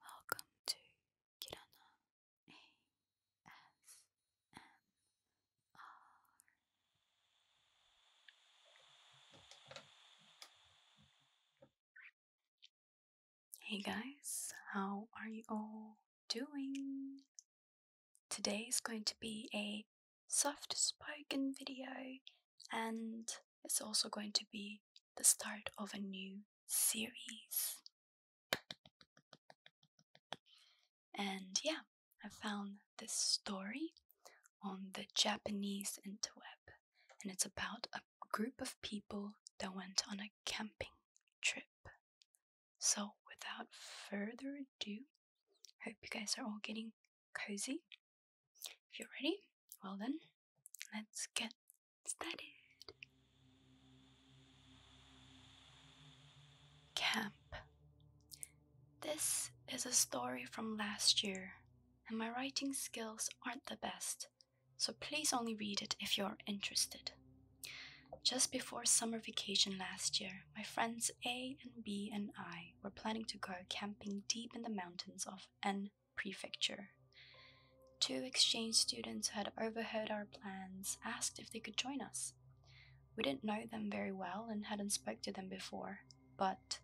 Welcome to Kirana ASMR. Hey guys, how are you all doing? Today is going to be a soft spoken video and it's also going to be the start of a new series. And yeah, I found this story on the Japanese interweb, and it's about a group of people that went on a camping trip. So, without further ado, hope you guys are all getting cozy. If you're ready, well then, Let's get started. Camp. This is a story from last year, and my writing skills aren't the best, so please only read it if you're interested. Just before summer vacation last year, my friends A and B and I were planning to go camping deep in the mountains of N Prefecture. Two exchange students had overheard our plans asked if they could join us. We didn't know them very well and hadn't spoken to them before, but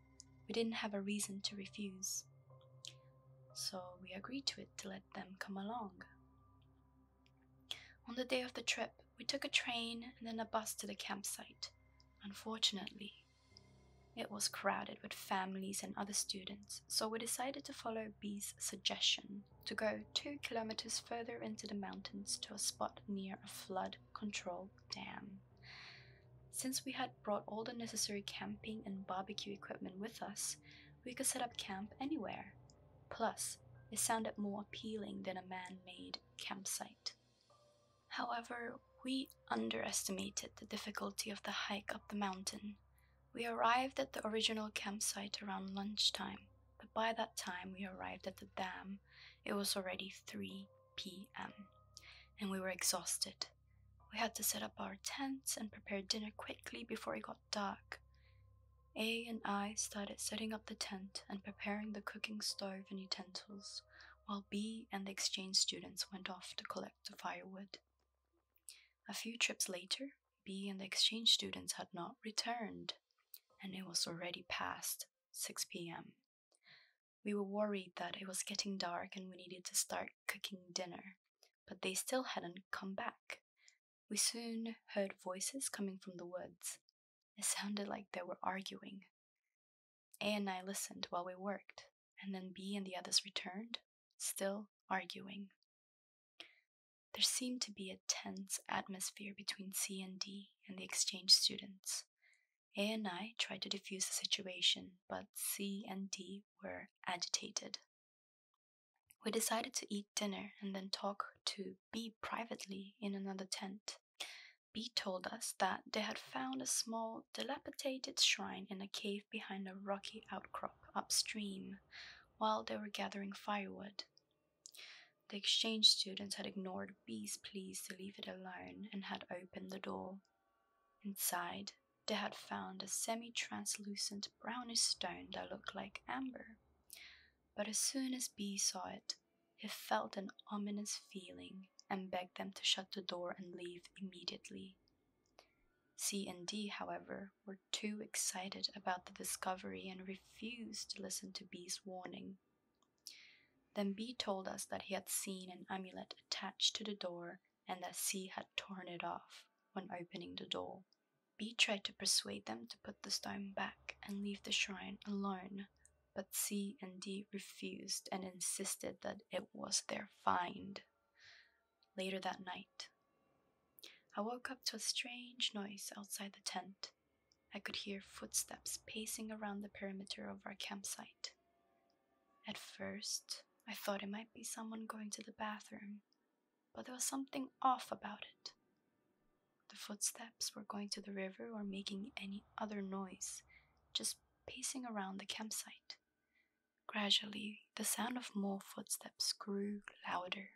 we didn't have a reason to refuse. So we agreed to it to let them come along. On the day of the trip, we took a train and then a bus to the campsite. Unfortunately, it was crowded with families and other students, so we decided to follow B's suggestion to go 2 kilometers further into the mountains to a spot near a flood control dam. Since we had brought all the necessary camping and barbecue equipment with us, we could set up camp anywhere. Plus, it sounded more appealing than a man made campsite. However, we underestimated the difficulty of the hike up the mountain. We arrived at the original campsite around lunchtime, but by that time we arrived at the dam, it was already 3 p.m., and we were exhausted. We had to set up our tents and prepare dinner quickly before it got dark. A and I started setting up the tent and preparing the cooking stove and utensils, while B and the exchange students went off to collect the firewood. A few trips later, B and the exchange students had not returned, and it was already past 6 p.m. We were worried that it was getting dark and we needed to start cooking dinner, but they still hadn't come back. We soon heard voices coming from the woods. It sounded like they were arguing. A and I listened while we worked, and then B and the others returned, still arguing. There seemed to be a tense atmosphere between C and D and the exchange students. A and I tried to diffuse the situation, but C and D were agitated. We decided to eat dinner and then talk to B privately in another tent. B told us that they had found a small, dilapidated shrine in a cave behind a rocky outcrop upstream, while they were gathering firewood. The exchange students had ignored B's pleas to leave it alone and had opened the door. Inside, they had found a semi translucent brownish stone that looked like amber. But as soon as B saw it, he felt an ominous feeling and begged them to shut the door and leave immediately. C and D, however, were too excited about the discovery and refused to listen to B's warning. Then B told us that he had seen an amulet attached to the door and that C had torn it off when opening the door. B tried to persuade them to put the stone back and leave the shrine alone, but C and D refused and insisted that it was their find later that night. I woke up to a strange noise outside the tent. I could hear footsteps pacing around the perimeter of our campsite. At first, I thought it might be someone going to the bathroom, but there was something off about it. The footsteps were going to the river or making any other noise, just pacing around the campsite. Gradually, the sound of more footsteps grew louder.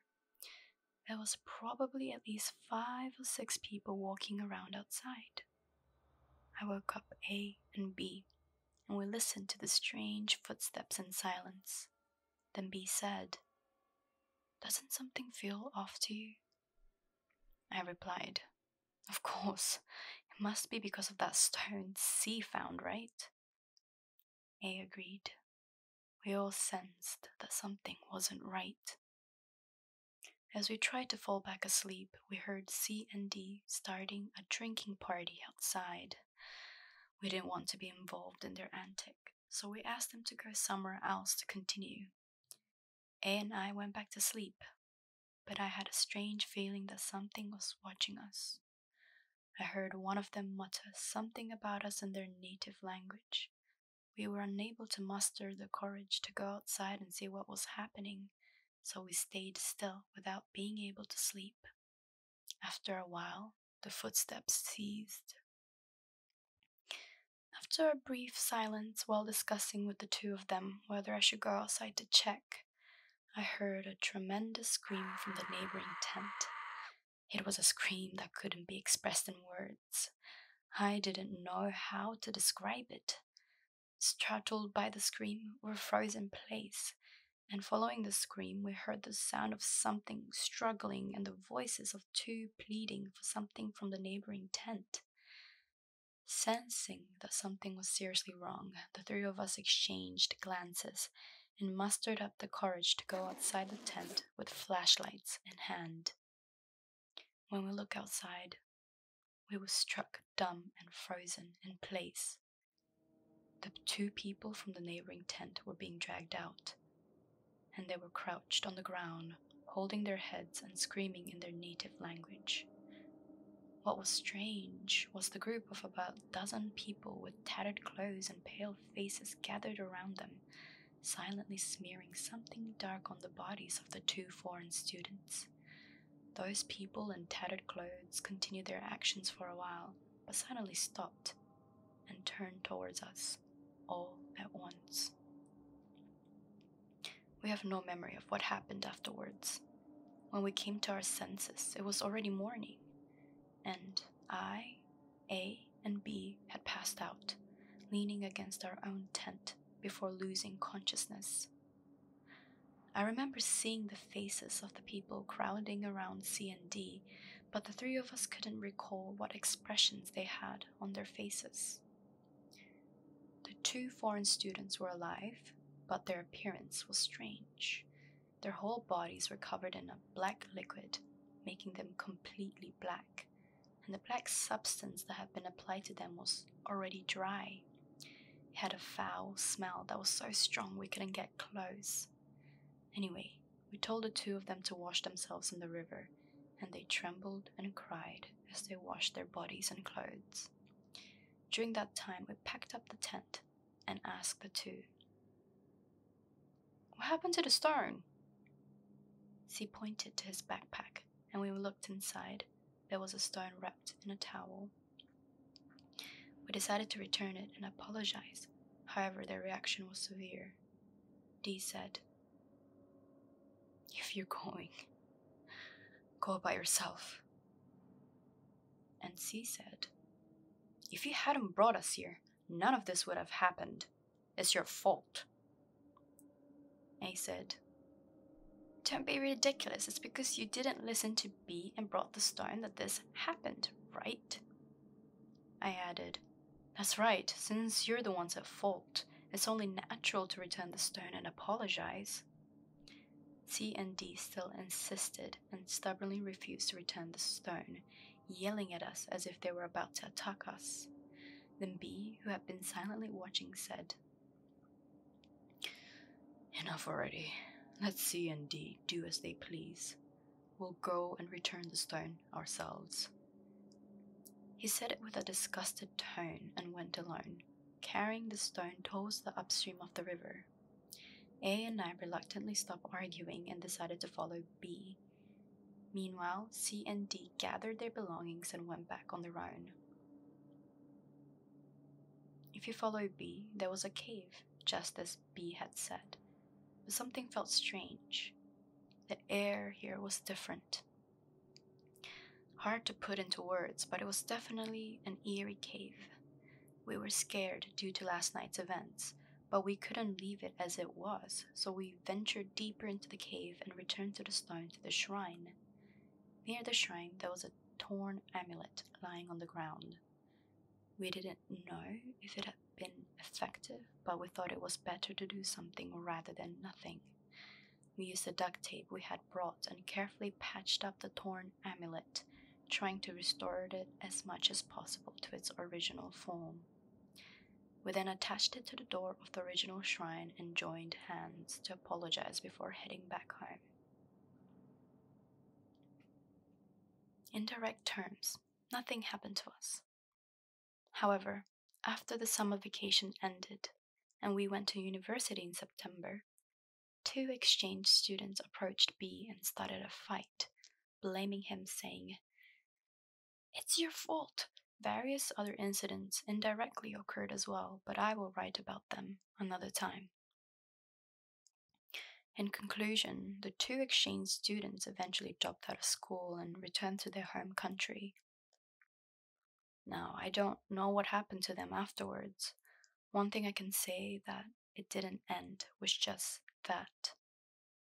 There was probably at least five or six people walking around outside. I woke up A and B, and we listened to the strange footsteps in silence. Then B said, Doesn't something feel off to you? I replied, Of course, it must be because of that stone C found, right? A agreed. We all sensed that something wasn't right. As we tried to fall back asleep, we heard C and D starting a drinking party outside. We didn't want to be involved in their antic, so we asked them to go somewhere else to continue. A and I went back to sleep, but I had a strange feeling that something was watching us. I heard one of them mutter something about us in their native language. We were unable to muster the courage to go outside and see what was happening, so we stayed still without being able to sleep. After a while, the footsteps ceased. After a brief silence while discussing with the two of them whether I should go outside to check, I heard a tremendous scream from the neighboring tent. It was a scream that couldn't be expressed in words. I didn't know how to describe it. Startled by the scream, we froze in place, and following the scream, we heard the sound of something struggling and the voices of two pleading for something from the neighboring tent. Sensing that something was seriously wrong, the three of us exchanged glances and mustered up the courage to go outside the tent with flashlights in hand. When we looked outside, we were struck dumb and frozen in place. The two people from the neighboring tent were being dragged out, and they were crouched on the ground, holding their heads and screaming in their native language. What was strange was the group of about a dozen people with tattered clothes and pale faces gathered around them, silently smearing something dark on the bodies of the two foreign students. Those people in tattered clothes continued their actions for a while, but suddenly stopped and turned towards us, all at once. We have no memory of what happened afterwards. When we came to our senses, it was already morning, and I a and B had passed out, leaning against our own tent before losing consciousness. I remember seeing the faces of the people crowding around C and D, but the three of us couldn't recall what expressions they had on their faces. The two foreign students were alive, but their appearance was strange, their whole bodies were covered in a black liquid, making them completely black, and the black substance that had been applied to them was already dry. It had a foul smell that was so strong we couldn't get close. Anyway, we told the two of them to wash themselves in the river, and they trembled and cried as they washed their bodies and clothes. During that time, we packed up the tent and asked the two what happened to the stone? He pointed to his backpack, and when we looked inside, there was a stone wrapped in a towel. We decided to return it and apologize. However, their reaction was severe. D said, If you're going, go by yourself. And C said, If you hadn't brought us here, none of this would have happened. It's your fault. A said, Don't be ridiculous. It's because you didn't listen to B and brought the stone that this happened, right? I added, That's right. Since you're the ones at fault, it's only natural to return the stone and apologize. C and D still insisted and stubbornly refused to return the stone, yelling at us as if they were about to attack us. Then B, who had been silently watching, said, Enough already. Let C and D do as they please. We'll go and return the stone ourselves. He said it with a disgusted tone and went alone, carrying the stone towards the upstream of the river. A and I reluctantly stopped arguing and decided to follow B, Meanwhile, C and D gathered their belongings and went back on their own. If you follow B, there was a cave, just as B had said, but something felt strange. The air here was different. Hard to put into words, but it was definitely an eerie cave. We were scared due to last night's events, but we couldn't leave it as it was, so we ventured deeper into the cave and returned to the stone to the shrine. Near the shrine, there was a torn amulet lying on the ground. We didn't know if it had been effective, but we thought it was better to do something rather than nothing. We used the duct tape we had brought and carefully patched up the torn amulet, trying to restore it as much as possible to its original form. We then attached it to the door of the original shrine and joined hands to apologize before heading back home. In direct terms, nothing happened to us. However, after the summer vacation ended and we went to university in September, two exchange students approached B and started a fight blaming him, saying, It's your fault. Various other incidents indirectly occurred as well, but I will write about them another time. In conclusion, the two exchange students eventually dropped out of school and returned to their home country. Now, I don't know what happened to them afterwards. One thing I can say that it didn't end was just that.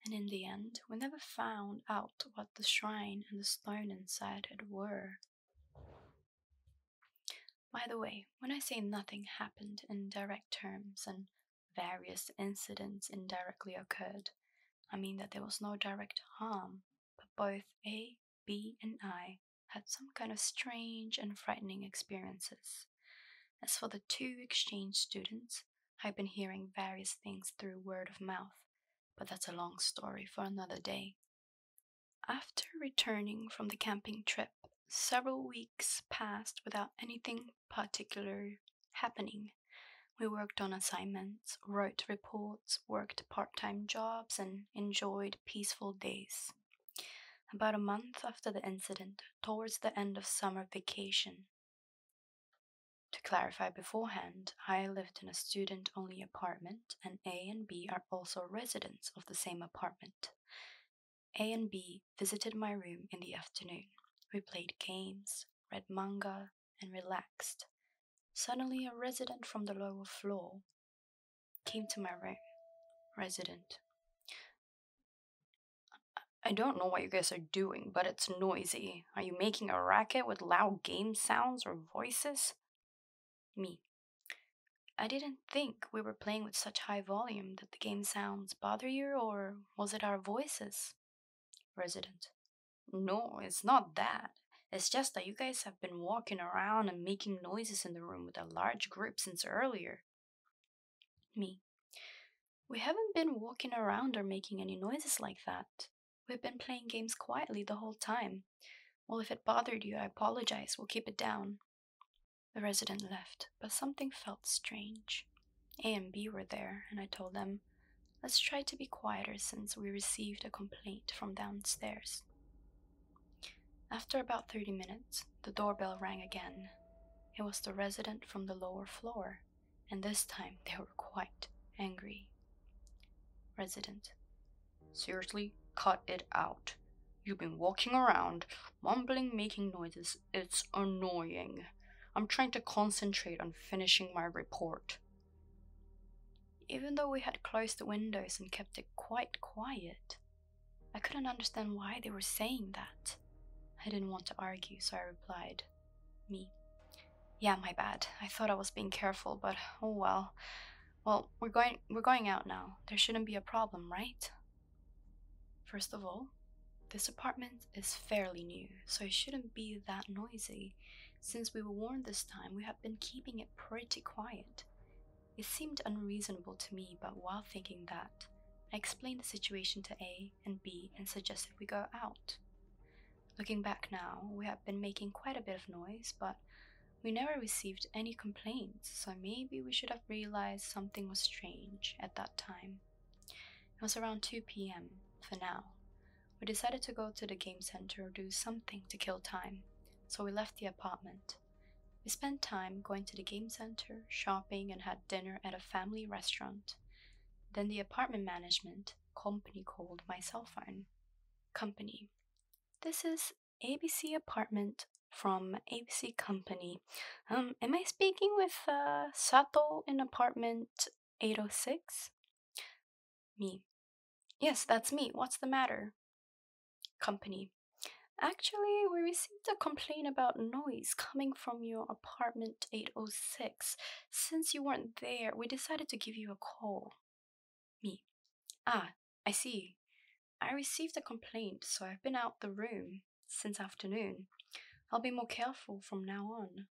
And in the end, we never found out what the shrine and the stone inside it were. By the way, when I say nothing happened in direct terms and various incidents indirectly occurred, I mean that there was no direct harm, but both A, B, and I had some kind of strange and frightening experiences. As for the two exchange students, I've been hearing various things through word of mouth, but that's a long story for another day. After returning from the camping trip, several weeks passed without anything particular happening. We worked on assignments, wrote reports, worked part time jobs, and enjoyed peaceful days. About a month after the incident, towards the end of summer vacation, to clarify beforehand, I lived in a student only apartment, and A and B are also residents of the same apartment. A and B visited my room in the afternoon. We played games, read manga, and relaxed. Suddenly, a resident from the lower floor came to my room. Resident. I don't know what you guys are doing, but it's noisy. Are you making a racket with loud game sounds or voices? Me. I didn't think we were playing with such high volume. that the game sounds bother you, or was it our voices? Resident. No, it's not that. It's just that you guys have been walking around and making noises in the room with a large group since earlier. Me. We haven't been walking around or making any noises like that. We've been playing games quietly the whole time. Well, if it bothered you, I apologize. We'll keep it down. The resident left, but something felt strange. A and B were there, and I told them, Let's try to be quieter since we received a complaint from downstairs. After about 30 minutes, the doorbell rang again. It was the resident from the lower floor and this time they were quite angry. Resident. Seriously, cut it out. You've been walking around, mumbling, making noises. It's annoying. I'm trying to concentrate on finishing my report. Even though we had closed the windows and kept it quite quiet, I couldn't understand why they were saying that. I didn't want to argue, so I replied, me. Yeah, my bad. I thought I was being careful, but oh well. Well, we're going we're going out now. There shouldn't be a problem, right? First of all, this apartment is fairly new, so it shouldn't be that noisy. Since we were warned this time, we have been keeping it pretty quiet. It seemed unreasonable to me, but while thinking that, I explained the situation to A and B and suggested we go out. Looking back now, we have been making quite a bit of noise, but we never received any complaints, so maybe we should have realized something was strange at that time. It was around 2 pm for now. We decided to go to the game center or do something to kill time, so we left the apartment. We spent time going to the game center, shopping, and had dinner at a family restaurant. Then the apartment management company called my cell phone company. This is ABC apartment from ABC company. Um, am I speaking with uh, Sato in apartment 806? Me. Yes, that's me. What's the matter? Company. Actually, we received a complaint about noise coming from your apartment 806 since you weren't there, we decided to give you a call. Me. Ah, I see. I received a complaint, so I've been out the room since afternoon. I'll be more careful from now on.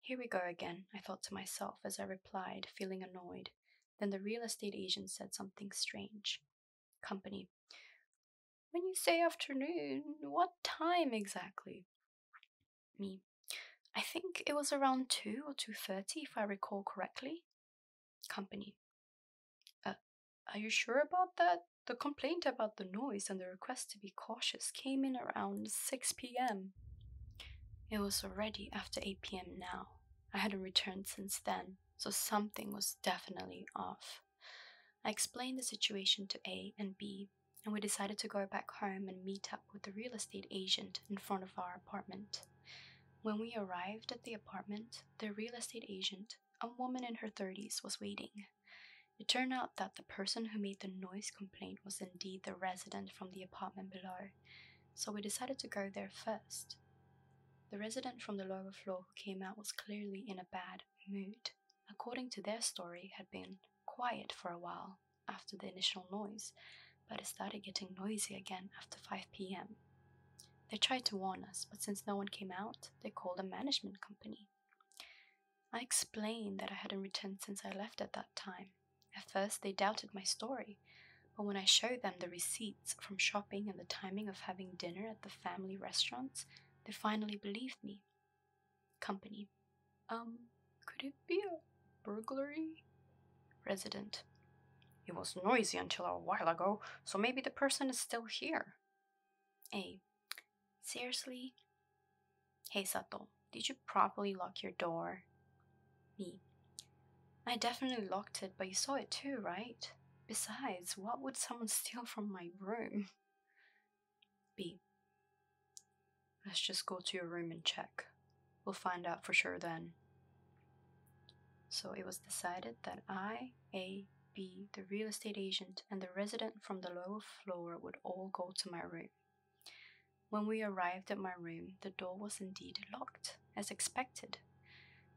Here we go again, I thought to myself as I replied, feeling annoyed. Then the real estate agent said something strange. Company. When you say afternoon, what time exactly? Me. I think it was around 2 or 2.30 if I recall correctly. Company. Uh, are you sure about that? The complaint about the noise and the request to be cautious came in around 6 p.m. It was already after 8 p.m. now. I hadn't returned since then, so something was definitely off. I explained the situation to A and B and we decided to go back home and meet up with the real estate agent in front of our apartment. When we arrived at the apartment, the real estate agent, a woman in her 30s, was waiting. It turned out that the person who made the noise complaint was indeed the resident from the apartment below, so we decided to go there first. The resident from the lower floor who came out was clearly in a bad, mood, according to their story, had been quiet for a while after the initial noise, but it started getting noisy again after 5 pm. They tried to warn us, but since no one came out, they called the management company. I explained that I hadn't returned since I left at that time. At first, they doubted my story, but when I showed them the receipts from shopping and the timing of having dinner at the family restaurants, they finally believed me Company. Um, could it be a burglary? Resident. It was noisy until a while ago, so maybe the person is still here. A. Seriously? Hey Sato, did you properly lock your door? Me. I definitely locked it, but you saw it too, right? Besides, what would someone steal from my room? B. Let's just go to your room and check. We'll find out for sure then. So it was decided that I, A, B, the real estate agent, and the resident from the lower floor would all go to my room. When we arrived at my room, the door was indeed locked, as expected.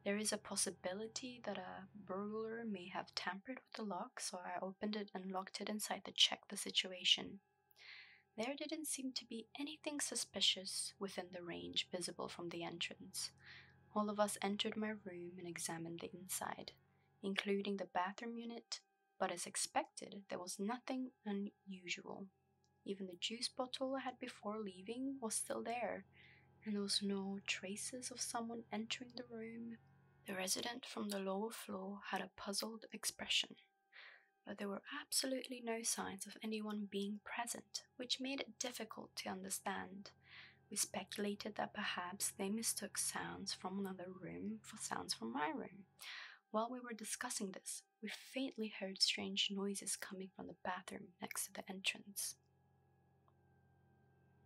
There is a possibility that a burglar may have tampered with the lock, so I opened it and locked it inside the check the situation. There didn't seem to be anything suspicious within the range visible from the entrance. All of us entered my room and examined the inside, including the bathroom unit, but as expected, there was nothing unusual. Even the juice bottle I had before leaving was still there, and there was no traces of someone entering the room the resident from the lower floor had a puzzled expression, but there were absolutely no signs of anyone being present, which made it difficult to understand. We speculated that perhaps they mistook sounds from another room for sounds from my room. While we were discussing this, we faintly heard strange noises coming from the bathroom next to the entrance.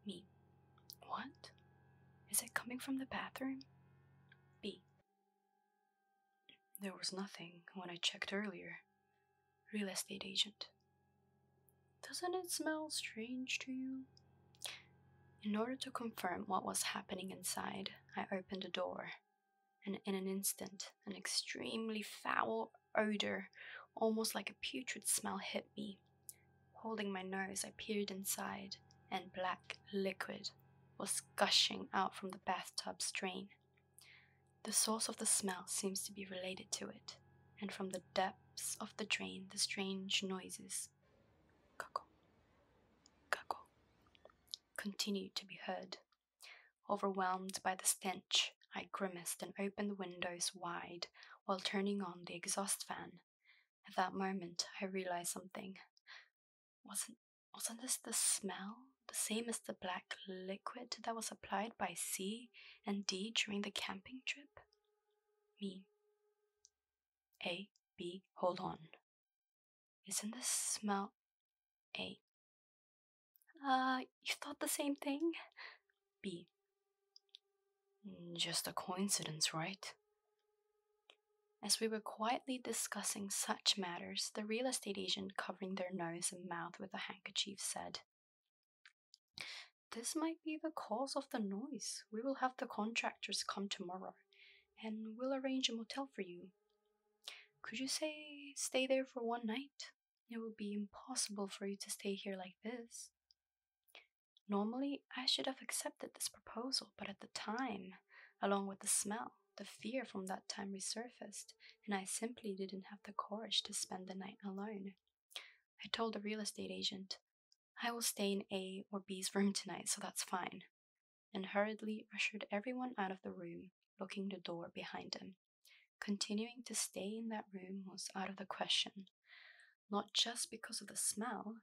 Me. What? Is it coming from the bathroom? B. There was nothing when I checked earlier. Real estate agent. Doesn't it smell strange to you? In order to confirm what was happening inside, I opened a door, and in an instant, an extremely foul odor, almost like a putrid smell, hit me. Holding my nose, I peered inside, and black liquid was gushing out from the bathtub drain. The source of the smell seems to be related to it, and from the depths of the drain, the strange noises cuckoo, cuckoo, continued to be heard. Overwhelmed by the stench, I grimaced and opened the windows wide while turning on the exhaust fan. At that moment, I realized something wasn't wasn't this the smell the same as the black liquid that was applied by C and D during the camping trip? Me. A, B, hold on. Isn't this smell A? Uh, you thought the same thing? B. Mm, just a coincidence, right? As we were quietly discussing such matters, the real estate agent, covering their nose and mouth with a handkerchief, said, This might be the cause of the noise. We will have the contractors come tomorrow, and we'll arrange a motel for you. Could you say stay there for one night? It would be impossible for you to stay here like this. Normally, I should have accepted this proposal but at the time, along with the smell, the fear from that time resurfaced, and I simply didn't have the courage to spend the night alone. I told the real estate agent, I will stay in A or B's room tonight, so that's fine, and hurriedly ushered everyone out of the room, locking the door behind him. Continuing to stay in that room was out of the question, not just because of the smell,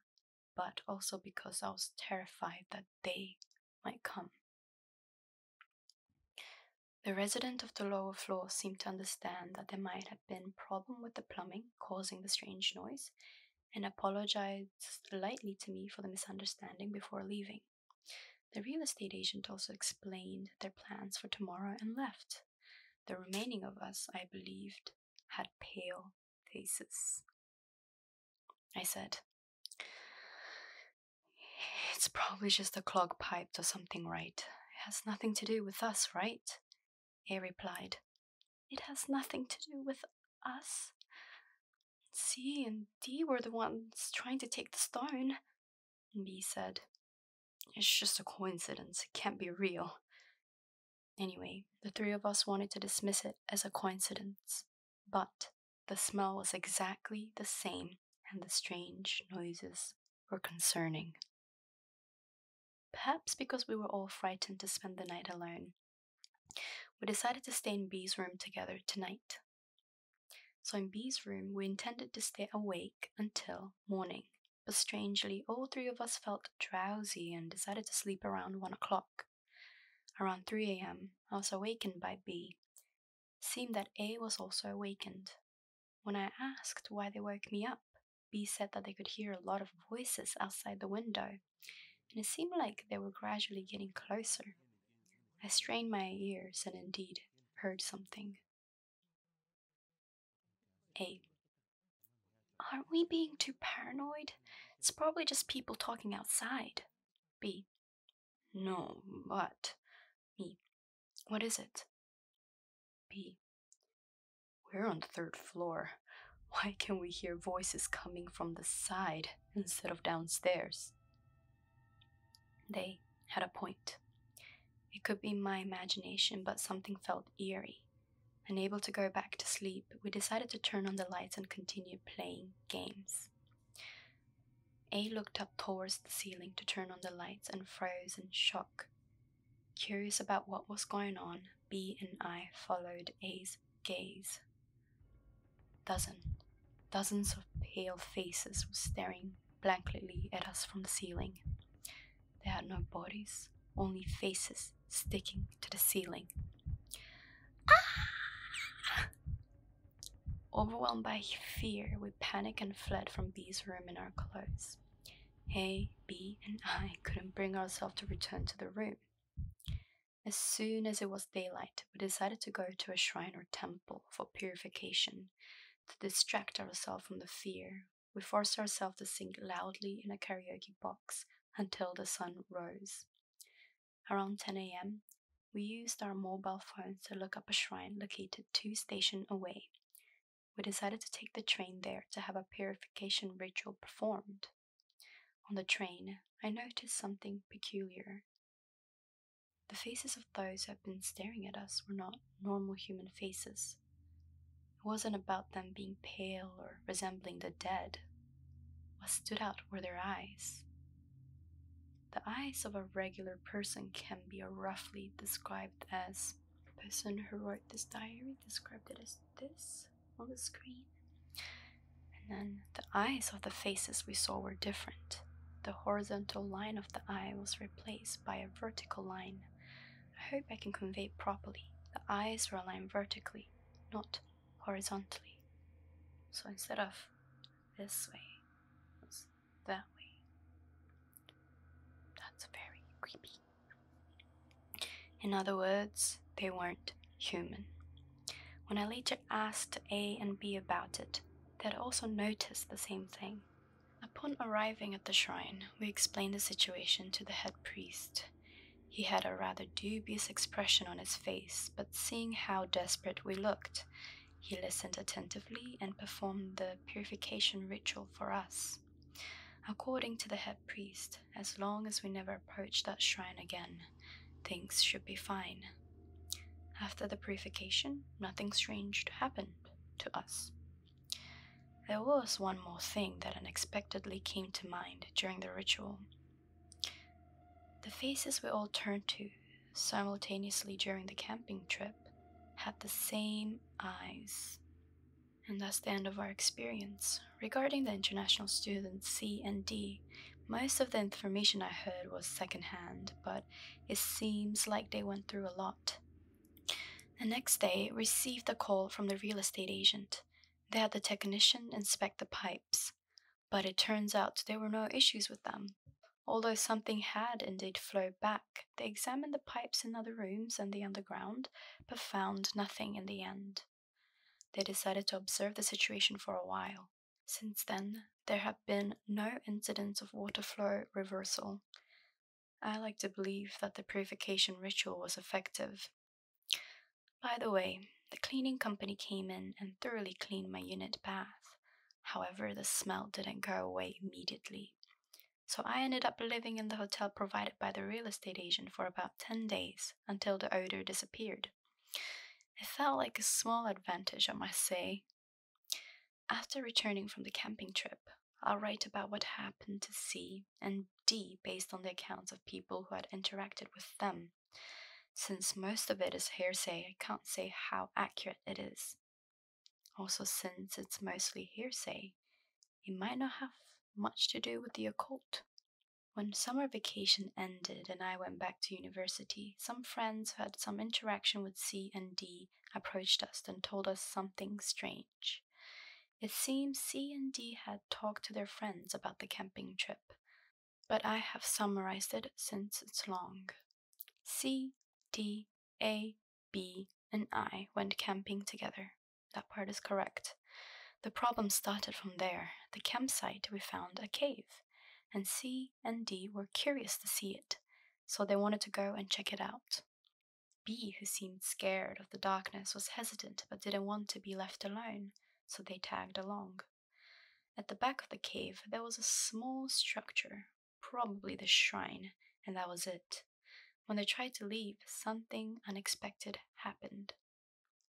but also because I was terrified that they might come. The resident of the lower floor seemed to understand that there might have been problem with the plumbing causing the strange noise and apologized lightly to me for the misunderstanding before leaving. The real estate agent also explained their plans for tomorrow and left. The remaining of us, I believed, had pale faces. I said, It's probably just a clog piped or something, right? It has nothing to do with us, right? He replied, It has nothing to do with us. C and D were the ones trying to take the stone. B said, It's just a coincidence, it can't be real. Anyway, the three of us wanted to dismiss it as a coincidence, but the smell was exactly the same, and the strange noises were concerning. Perhaps because we were all frightened to spend the night alone, we decided to stay in B's room together tonight. So, in B's room, we intended to stay awake until morning, but strangely, all three of us felt drowsy and decided to sleep around one o'clock. Around 3 a.m., I was awakened by B. Seemed that A was also awakened. When I asked why they woke me up, B said that they could hear a lot of voices outside the window, and it seemed like they were gradually getting closer. I strained my ears and indeed heard something. A. Aren't we being too paranoid? It's probably just people talking outside. B. No, but. Me. What is it? B. We're on the third floor. Why can we hear voices coming from the side instead of downstairs? They had a point. It could be my imagination, but something felt eerie. Unable to go back to sleep, we decided to turn on the lights and continue playing games. A looked up towards the ceiling to turn on the lights and froze in shock. Curious about what was going on, B and I followed A's gaze. Dozens, dozens of pale faces were staring blankly at us from the ceiling. They had no bodies, only faces sticking to the ceiling. Ah! Overwhelmed by fear, we panicked and fled from B's room in our clothes. A, B, and I couldn't bring ourselves to return to the room. As soon as it was daylight, we decided to go to a shrine or temple for purification. To distract ourselves from the fear, we forced ourselves to sing loudly in a karaoke box until the sun rose. Around 10 a.m., we used our mobile phones to look up a shrine located two stations away. We decided to take the train there to have a purification ritual performed. On the train, I noticed something peculiar. The faces of those who had been staring at us were not normal human faces. It wasn't about them being pale or resembling the dead, what stood out were their eyes. The eyes of a regular person can be roughly described as. The person who wrote this diary described it as this on the screen. And then the eyes of the faces we saw were different. The horizontal line of the eye was replaced by a vertical line. I hope I can convey properly. The eyes were aligned vertically, not horizontally. So instead of this way, that way. That's very creepy. In other words, they weren't human. When I later asked A and B about it, they had also noticed the same thing. Upon arriving at the shrine, we explained the situation to the head priest, he had a rather dubious expression on his face, but seeing how desperate we looked, he listened attentively and performed the purification ritual for us. According to the head priest, as long as we never approached that shrine again, things should be fine. After the purification, nothing strange happened to us. There was one more thing that unexpectedly came to mind during the ritual. The faces we all turned to simultaneously during the camping trip had the same eyes. And that's the end of our experience. Regarding the international students C and D, most of the information I heard was secondhand, but it seems like they went through a lot. The next day, received a call from the real estate agent. They had the technician inspect the pipes but it turns out there were no issues with them. Although something had indeed flowed back, they examined the pipes in other rooms and the underground, but found nothing in the end. They decided to observe the situation for a while. Since then, there have been no incidents of water flow reversal. I like to believe that the purification ritual was effective by the way, the cleaning company came in and thoroughly cleaned my unit bath. However, the smell didn't go away immediately. So I ended up living in the hotel provided by the real estate agent for about 10 days until the odor disappeared. It felt like a small advantage, I must say. After returning from the camping trip, I'll write about what happened to C and D based on the accounts of people who had interacted with them since most of it is hearsay, I can't say how accurate it is. Also, since it's mostly hearsay, it might not have much to do with the occult. When summer vacation ended and I went back to university, some friends who had some interaction with C and D approached us and told us something strange. It seems C and D had talked to their friends about the camping trip, but I have summarized it since it's long. C, D, A, B, and I went camping together. That part is correct. The problem started from there. At The campsite we found a cave, and C and D were curious to see it, so they wanted to go and check it out. B, who seemed scared of the darkness, was hesitant but didn't want to be left alone, so they tagged along. At the back of the cave, there was a small structure, probably the shrine, and that was it. When they tried to leave, something unexpected happened.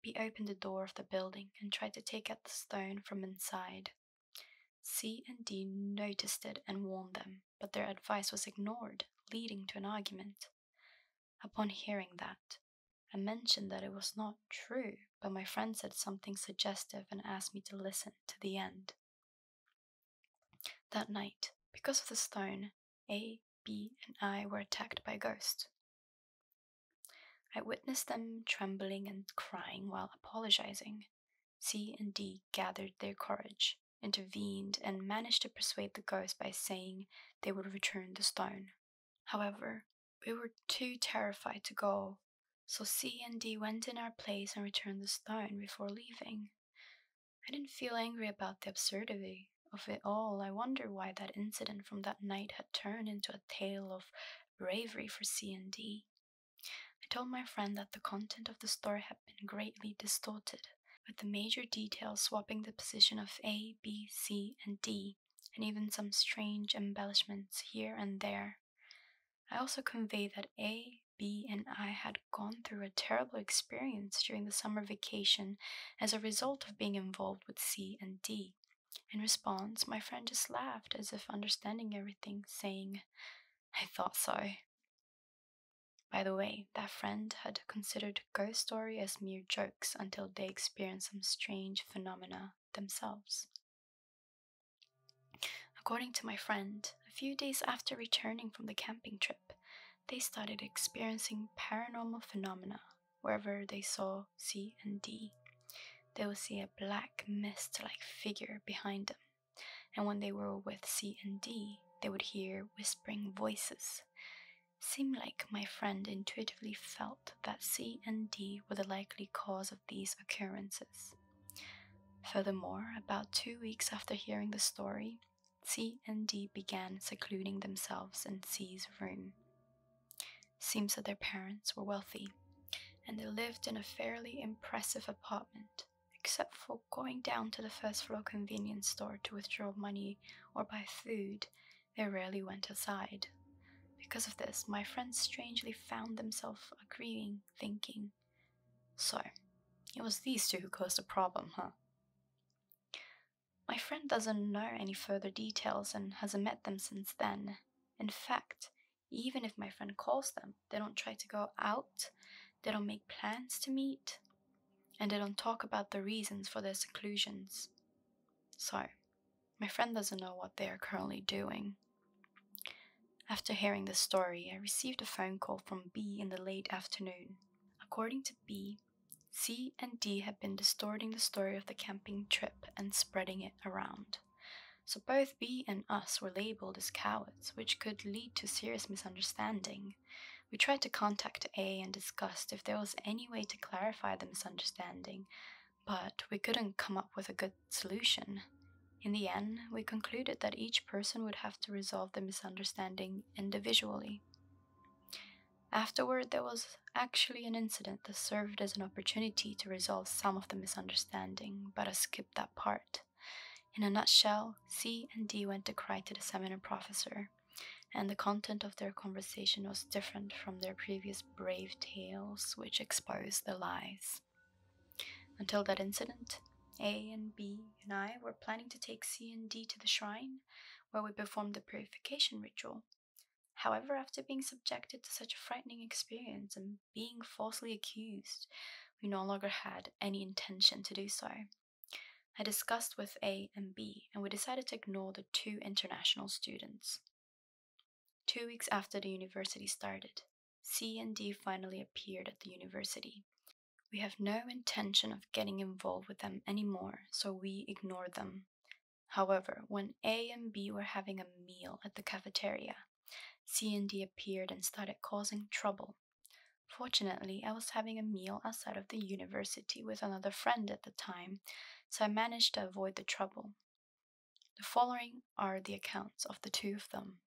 He opened the door of the building and tried to take out the stone from inside. C and D noticed it and warned them, but their advice was ignored, leading to an argument. Upon hearing that, I mentioned that it was not true, but my friend said something suggestive and asked me to listen to the end. That night, because of the stone, A, B, and I were attacked by ghosts. I witnessed them trembling and crying while apologizing. C and D gathered their courage, intervened, and managed to persuade the ghost by saying they would return the stone. However, we were too terrified to go, so C and D went in our place and returned the stone before leaving. I didn't feel angry about the absurdity of it all. I wonder why that incident from that night had turned into a tale of bravery for C and D. I told my friend that the content of the story had been greatly distorted, with the major details swapping the position of A, B, C, and D and even some strange embellishments here and there. I also conveyed that A, B, and I had gone through a terrible experience during the summer vacation as a result of being involved with C and D. In response, my friend just laughed as if understanding everything, saying, I thought so. By the way, that friend had considered ghost stories as mere jokes until they experienced some strange phenomena themselves. According to my friend, a few days after returning from the camping trip, they started experiencing paranormal phenomena wherever they saw C and D. They would see a black mist like figure behind them, and when they were with C and D, they would hear whispering voices. Seemed like my friend intuitively felt that C and D were the likely cause of these occurrences. Furthermore, about two weeks after hearing the story, C and D began secluding themselves in C's room. Seems that their parents were wealthy, and they lived in a fairly impressive apartment, except for going down to the first floor convenience store to withdraw money or buy food, they rarely went outside. Because of this, my friends strangely found themselves agreeing, thinking, So, it was these two who caused the problem, huh? My friend doesn't know any further details and hasn't met them since then. In fact, even if my friend calls them, they don't try to go out, they don't make plans to meet, and they don't talk about the reasons for their seclusions. So, my friend doesn't know what they are currently doing. After hearing the story, I received a phone call from B in the late afternoon. According to B, C and D had been distorting the story of the camping trip and spreading it around. So both B and us were labeled as cowards, which could lead to serious misunderstanding. We tried to contact A and discussed if there was any way to clarify the misunderstanding, but we couldn't come up with a good solution. In the end, we concluded that each person would have to resolve the misunderstanding individually. Afterward, there was actually an incident that served as an opportunity to resolve some of the misunderstanding, but I skipped that part. In a nutshell, C and D went to cry to the seminar professor, and the content of their conversation was different from their previous brave tales which expose the lies. Until that incident, A and B and I were planning to take C and D to the shrine where we performed the purification ritual. However, after being subjected to such a frightening experience and being falsely accused, we no longer had any intention to do so. I discussed with A and B, and we decided to ignore the two international students. Two weeks after the university started, C and D finally appeared at the university. We have no intention of getting involved with them anymore, so we ignore them. However, when A and B were having a meal at the cafeteria, C and D appeared and started causing trouble. Fortunately, I was having a meal outside of the university with another friend at the time, so I managed to avoid the trouble. The following are the accounts of the two of them.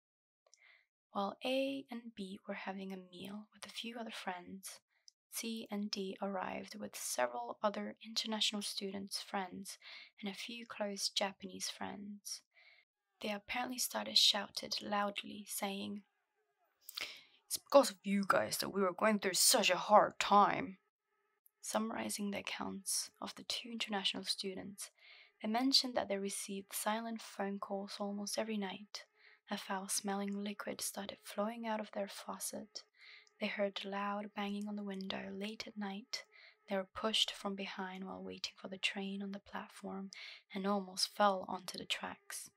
While A and B were having a meal with a few other friends, C and D arrived with several other international students' friends and a few close Japanese friends. They apparently started shouted loudly, saying, It's because of you guys that we were going through such a hard time. Summarizing the accounts of the two international students, they mentioned that they received silent phone calls almost every night. A foul smelling liquid started flowing out of their faucet. They heard loud banging on the window late at night. They were pushed from behind while waiting for the train on the platform and almost fell onto the tracks.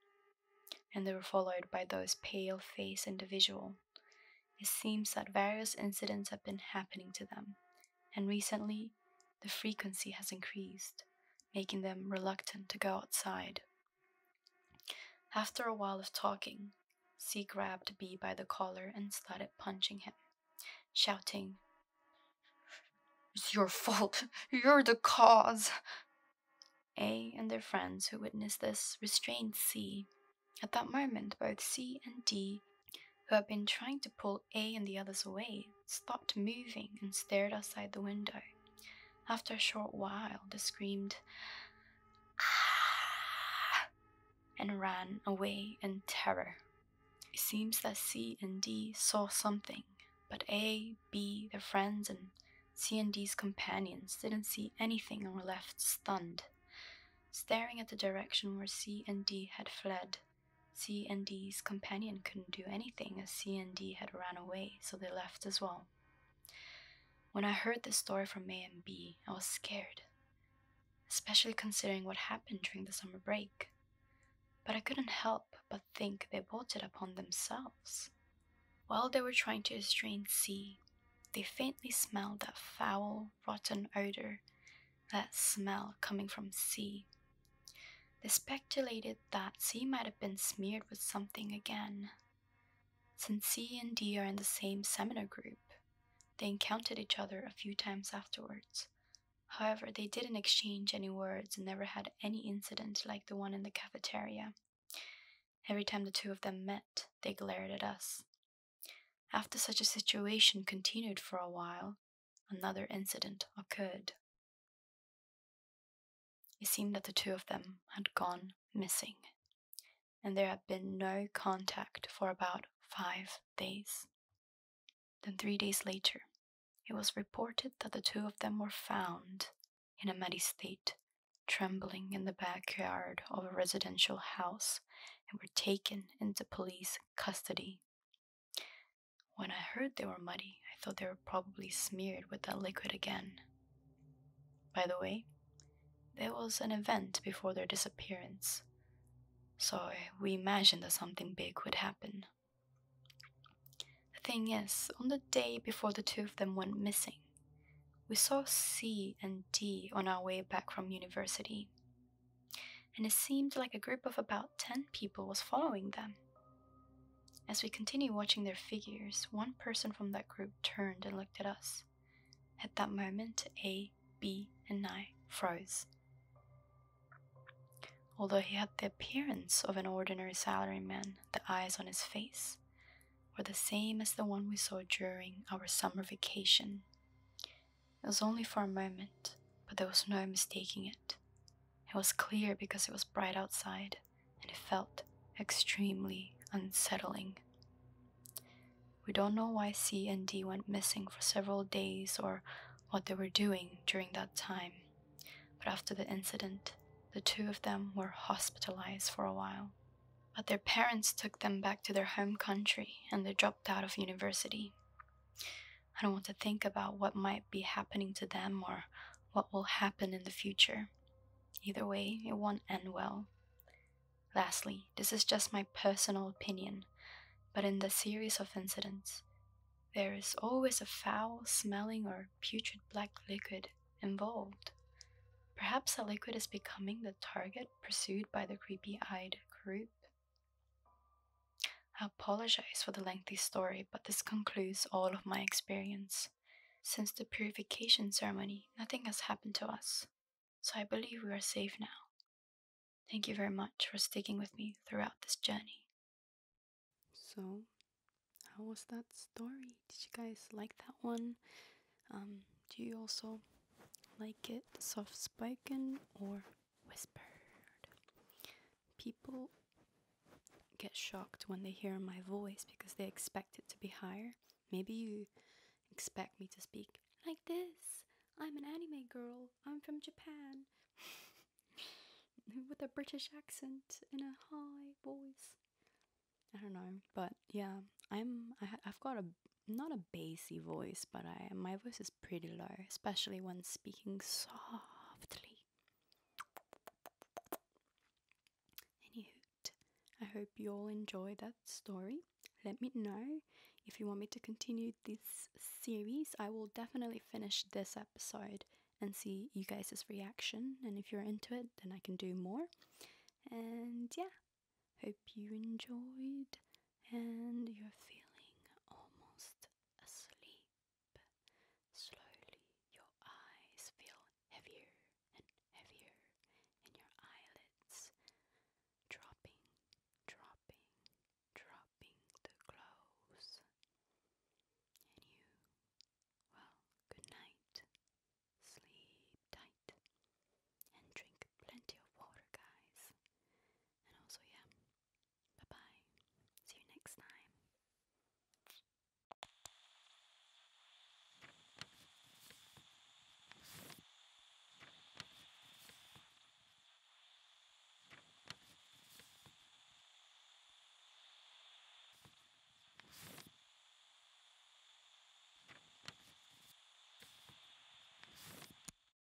And they were followed by those pale faced individual. It seems that various incidents have been happening to them, and recently the frequency has increased, making them reluctant to go outside. After a while of talking, C grabbed B by the collar and started punching him, shouting, It's your fault! You're the cause! A and their friends who witnessed this restrained C at that moment, both C and D, who had been trying to pull A and the others away, stopped moving and stared outside the window. After a short while, they screamed, ah! and ran away in terror. It seems that C and D saw something, but A, B, their friends, and C and D's companions didn't see anything and were left stunned staring at the direction where C and D had fled. C and D's companion couldn't do anything as C and D had ran away, so they left as well. When I heard the story from A and B, I was scared, especially considering what happened during the summer break. But I couldn't help but think they brought it upon themselves. While they were trying to estrange C, they faintly smelled that foul, rotten odor that smell coming from C. They speculated that C might have been smeared with something again. Since C and D are in the same seminar group, they encountered each other a few times afterwards. However, they didn't exchange any words and never had any incident like the one in the cafeteria. Every time the two of them met, they glared at us, after such a situation continued for a while, another incident occurred. It seemed that the two of them had gone missing, and there had been no contact for about five days. Then, three days later, it was reported that the two of them were found in a muddy state, trembling in the backyard of a residential house and were taken into police custody. When I heard they were muddy, I thought they were probably smeared with that liquid again. By the way, there was an event before their disappearance, so we imagined that something big would happen. The thing is, on the day before the two of them went missing, we saw C and D on our way back from university and it seemed like a group of about 10 people was following them. As we continued watching their figures, one person from that group turned and looked at us. At that moment, A, B, and I froze. Although he had the appearance of an ordinary salaryman, the eyes on his face were the same as the one we saw during our summer vacation. It was only for a moment, but there was no mistaking it. It was clear because it was bright outside, and it felt extremely unsettling. We don't know why C and D went missing for several days or what they were doing during that time, but after the incident, the two of them were hospitalized for a while. But their parents took them back to their home country and they dropped out of university. I don't want to think about what might be happening to them or what will happen in the future. Either way, it won't end well. Lastly, this is just my personal opinion, but in the series of incidents, there is always a foul smelling or putrid black liquid involved. Perhaps the liquid is becoming the target pursued by the creepy eyed group. I apologize for the lengthy story, but this concludes all of my experience. Since the purification ceremony, nothing has happened to us, so I believe we are safe now. Thank you very much for sticking with me throughout this journey. So, how was that story? Did you guys like that one? Um, do you also like it soft spoken or whispered. People get shocked when they hear my voice because they expect it to be higher. Maybe you expect me to speak like this. I'm an anime girl. I'm from Japan. With a British accent in a high voice. I don't know, but yeah, I'm I, i have got a not a bassy voice, but I my voice is pretty low, especially when speaking softly. Any I hope you all enjoy that story. Let me know if you want me to continue this series. I will definitely finish this episode and see you guys' reaction. And if you're into it, then I can do more. And yeah, hope you enjoyed and you're feeling almost asleep. Slowly, your eyes feel heavier and heavier, and your eyelids dropping, dropping, dropping to close. And you, well, good night. Sleep tight and drink plenty of water, guys. And also, yeah, Bye bye. See you next time.